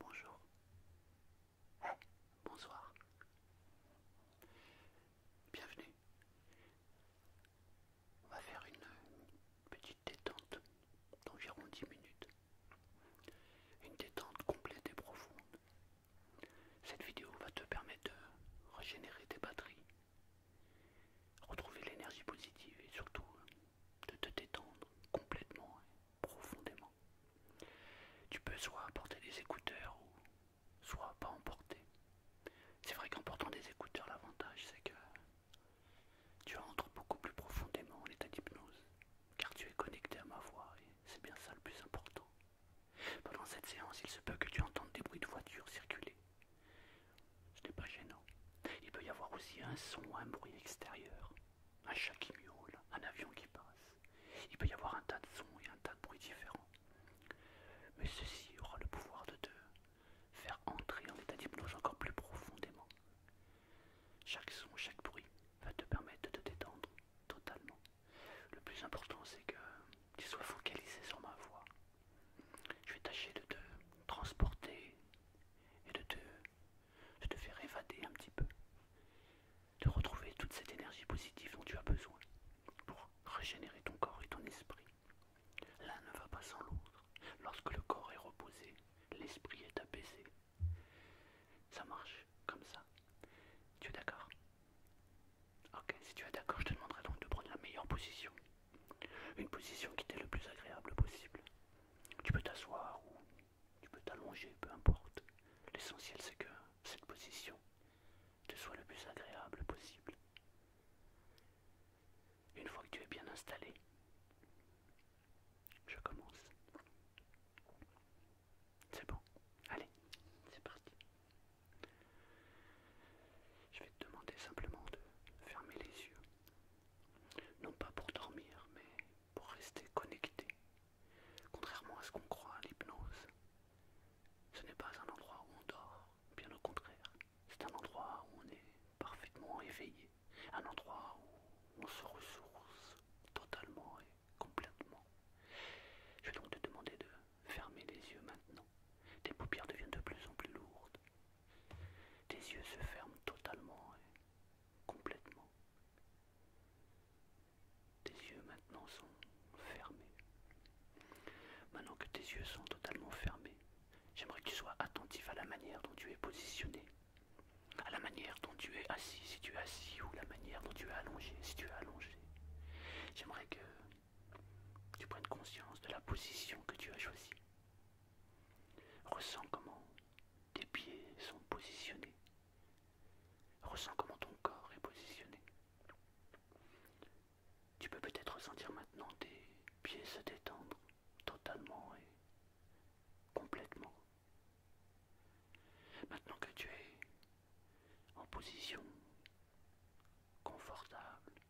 bonjour. bonsoir. Bienvenue. On va faire une petite détente d'environ 10 minutes. Une détente complète et profonde cette vidéo va te permettre de régénérer tes batteries, retrouver l'énergie positive et surtout hein, de te détendre complètement et profondément. Tu peux soit porter des écouteurs ou soit pas en C'est vrai qu'en portant des écouteurs, l'avantage c'est que tu entres beaucoup plus profondément en état d'hypnose car tu es connecté à ma voix et c'est bien ça le plus important. Pendant cette séance, il se peut que tu entendes des bruits de voitures circuler. Ce n'est pas gênant. Il peut y avoir aussi un son ou un bruit extérieur, un chat qui miaule, un avion qui passe. Il peut y avoir un tas de sons et un tas de bruits différents. Mais ceci aura le pouvoir de te faire entrer en état d'hypnose encore plus profondément. Chaque son, chaque bruit va te permettre de te détendre totalement. Le plus important, c'est que tu sois focalisé sur ma voix. Je vais tâcher de te transporter et de te, faire évader un petit peu, de retrouver toute cette énergie positive dont tu as besoin pour régénérer ton corps et ton esprit. L'un ne va pas sans l'autre. Lorsque le corps est reposé, l'esprit est apaisé. Ça marche comme ça. Tu es d'accord Ok, si tu es d'accord, je te demanderai donc de prendre la meilleure position. Une position qui t'est le plus agréable possible. Tu peux t'asseoir ou tu peux t'allonger, peu importe. L'essentiel c'est que cette position te soit le plus agréable possible. Une fois que tu es bien installé, je commence. C'est bon, allez, c'est parti. Je vais te demander simplement de fermer les yeux. Non pas pour dormir, mais pour rester connecté. Contrairement à ce qu'on croit à l'hypnose, ce n'est pas un endroit où on dort, bien au contraire. C'est un endroit où on est parfaitement éveillé, un endroit où on se ressource totalement complètement. Je vais donc te demander de fermer les yeux maintenant. Tes paupières deviennent de plus en plus lourdes. Tes yeux se ferment totalement complètement. Tes yeux maintenant sont fermés. Maintenant que tes yeux sont totalement fermés, j'aimerais que tu sois attentif à la manière dont tu es positionné, à la manière tu es assis, si tu es assis, ou la manière dont tu es allongé, si tu es allongé. J'aimerais que tu prennes conscience de la position que tu as choisie. Ressens comment tes pieds sont positionnés. Ressens comment ton corps est positionné. Tu peux peut-être ressentir maintenant tes pieds se détendre totalement et complètement. Maintenant que tu es en position confortable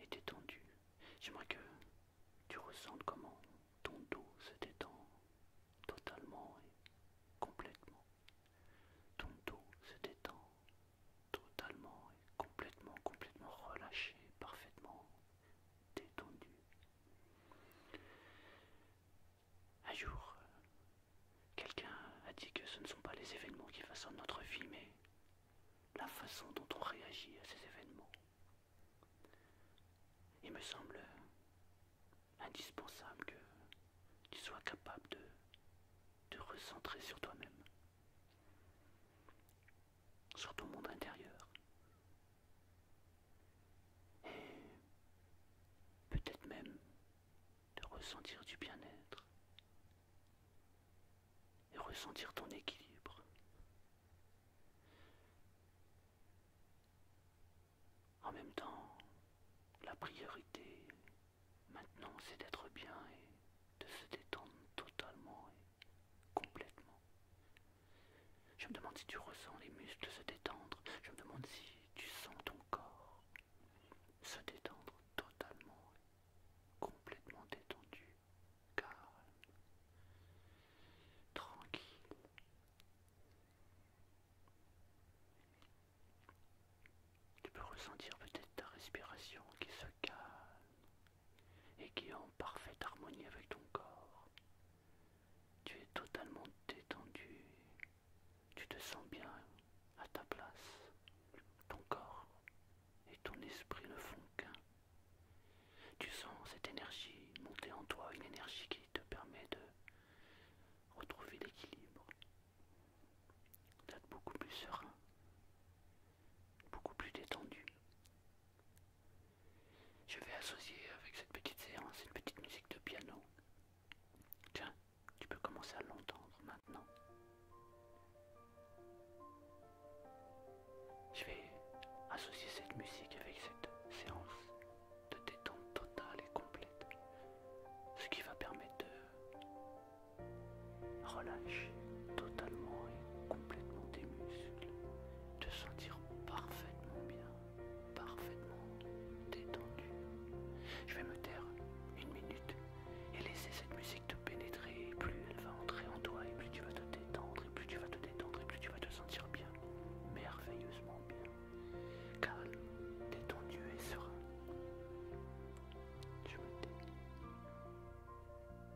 et détendue, j'aimerais que tu ressentes comment ton dos se détend totalement et complètement. Ton dos se détend totalement et complètement, complètement relâché, parfaitement détendu. Un jour, quelqu'un a dit que ce ne sont pas les événements qui façonnent notre vie, mais la façon dont on réagit à ces événements. Il me semble indispensable que tu sois capable de te recentrer sur toi-même, sur ton monde intérieur, et peut-être même de ressentir du bien-être et ressentir ton équilibre. En même temps, la priorité maintenant, c'est d'être bien et de se détendre totalement et complètement je me demande si tu ressens les muscles se détendre. Je me demande si tu sens ton corps se détendre totalement, complètement détendu, calme, tranquille. Tu peux ressentir peut-être ta respiration qui se calme et qui est en parfaite harmonie avec ton corps. Tu es totalement détendu. Tu te sens bien à ta place. Ton corps et ton esprit ne font qu'un. Tu sens cette énergie monter en toi, une énergie qui te permet de retrouver l'équilibre, d'être beaucoup plus serein, beaucoup plus détendu. Je vais associer avec cette petite séance une petite musique de piano. Tiens, tu peux commencer à l'entendre maintenant. Je vais associer cette musique avec cette séance de détente totale et complète, ce qui va permettre de relâcher totalement et complètement tes muscles, te sentir parfaitement bien, parfaitement détendu. Je vais me taire une minute et laisser cette musique te pénétrer. Et plus elle va entrer en toi, et plus tu vas te détendre, et plus tu vas te détendre, et plus tu vas te sentir bien, merveilleusement bien, calme, détendu et serein. Je me tais.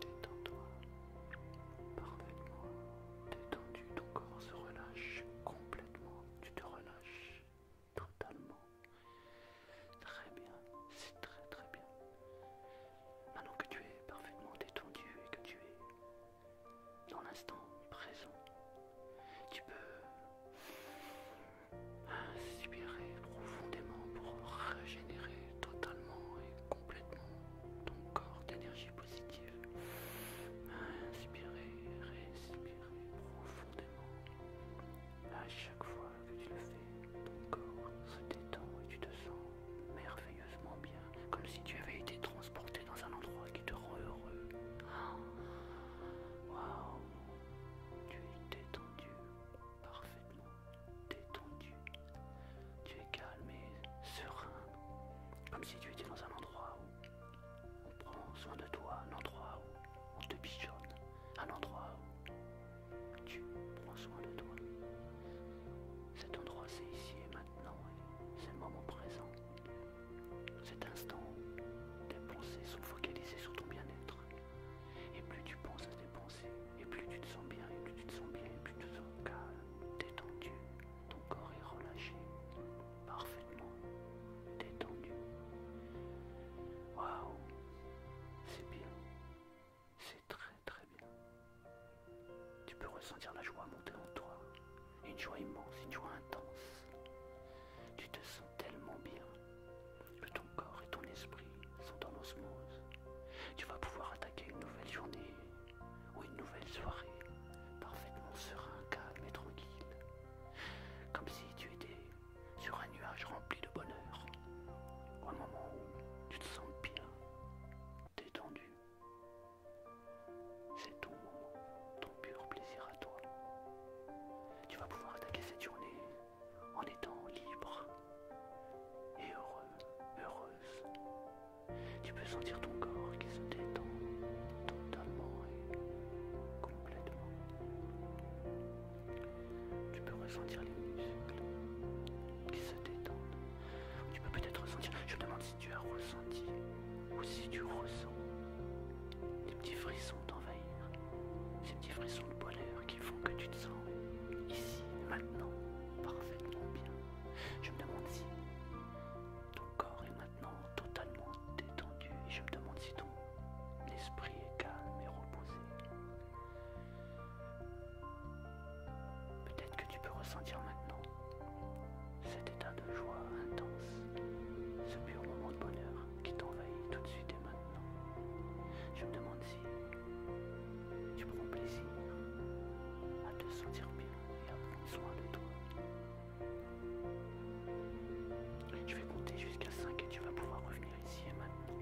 Détends-toi, parfaitement détendu, ton corps se relâche complètement, tu te relâches totalement. Très bien, c'est très très bien. Maintenant que tu es parfaitement détendu et que tu es dans l'instant présent, tu peux Inspirez profondément pour régénérer totalement et complètement ton corps d'énergie positive. Inspirez, respirer profondément. À chaque fois que tu le fais, ton corps se détend et tu te sens merveilleusement bien, comme si tu avais été transporté dans un endroit qui te rend heureux. Waouh, tu es détendu parfaitement détendu. Tu es calme et serein, comme si tu étais dans un endroit où on prend soin de toi, un endroit où on te pigeonne, un endroit où tu prends soin de toi. Cet endroit, c'est ici et maintenant, c'est le moment présent. Cet instant tes pensées sont focalisées sur ton bien-être, et plus tu penses à tes pensées, et plus tu te sens bien, et plus tu te sens bien, et plus tu te sens calme, détendu. Ton corps est relâché, parfaitement détendu. Waouh, c'est bien, c'est très très bien. Tu peux ressentir la joie monter en toi, une joie immense, une joie intense. Tu te sens tellement bien que ton corps et ton esprit sont en osmose. Tu vas pouvoir attaquer une nouvelle journée ou une nouvelle soirée parfaitement serein, calme et tranquille, comme si tu étais sur un nuage rempli de bonheur, Au moment où tu te sens bien, détendu. C'est ton moment, ton pur plaisir à toi. Tu vas pouvoir attaquer cette journée en étant libre et heureux, heureuse. Tu peux sentir ton corps qui se détend totalement et complètement. Tu peux ressentir les muscles qui se détendent. Tu peux peut-être ressentir, je demande si tu as ressenti ou si tu ressens des petits frissons ces petits frissons de bonheur qui font que tu te sens ici, maintenant, parfaitement bien. Je me demande si ton corps est maintenant totalement détendu et je me demande si ton esprit est calme et reposé. Peut-être que tu peux ressentir maintenant cet état de joie intense, ce pur moment de bonheur qui t'envahit tout de suite et maintenant. Je me demande si tu prends plaisir à te sentir bien et à prendre soin de toi. Je vais compter jusqu'à 5 et tu vas pouvoir revenir ici et maintenant.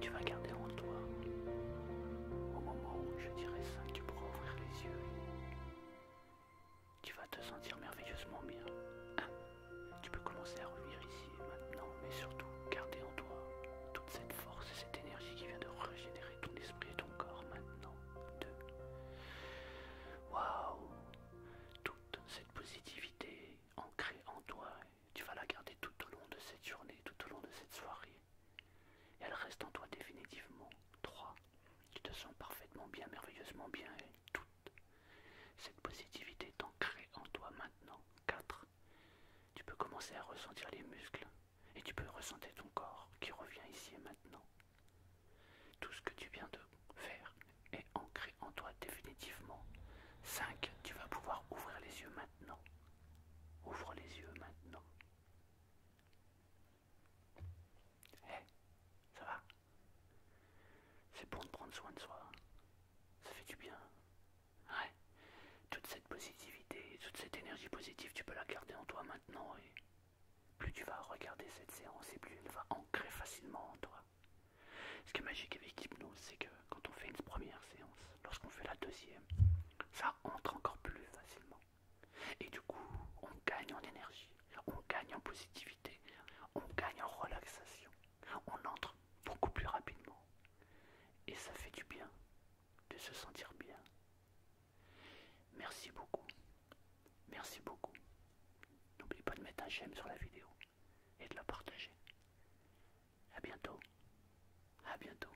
Tu vas garder en toi. Au moment où je dirais 5, tu pourras ouvrir les yeux tu vas te sentir merveilleusement bien. Ah, tu peux commencer à revenir ici maintenant, mais surtout garder en toi toute cette force et cette énergie qui vient de régénérer ton esprit et ton corps maintenant. 2. Waouh Toute cette positivité ancrée en toi, tu vas la garder tout au long de cette journée, tout au long de cette soirée. elle reste en toi définitivement. 3. Tu te sens parfaitement bien, merveilleusement bien tout cette positivité est ancrée en toi maintenant. 4. Tu peux commencer à ressentir les muscles et tu peux ressentir ton corps qui revient ici et maintenant. Tout ce que tu viens de faire est ancré en toi définitivement. 5. Tu vas pouvoir ouvrir les yeux maintenant. Ouvre les yeux maintenant. Eh, ça va C'est bon de prendre soin de soi. Ça fait du bien. Ouais. Toute cette positivité, toute cette énergie positive, tu peux la garder en toi maintenant et plus tu vas regarder cette séance et plus elle va ancrer facilement en toi. Ce qui est magique avec l'hypnose, c'est que quand on fait une première séance, lorsqu'on fait la deuxième, ça entre encore plus facilement. Et du coup, on gagne en énergie, on gagne en positivité, on gagne en relaxation, on entre beaucoup plus rapidement. Et ça fait du bien de se sentir bien. Merci beaucoup. Merci beaucoup. N'oubliez pas de mettre un j'aime sur la vidéo et de la partager. À bientôt. À bientôt.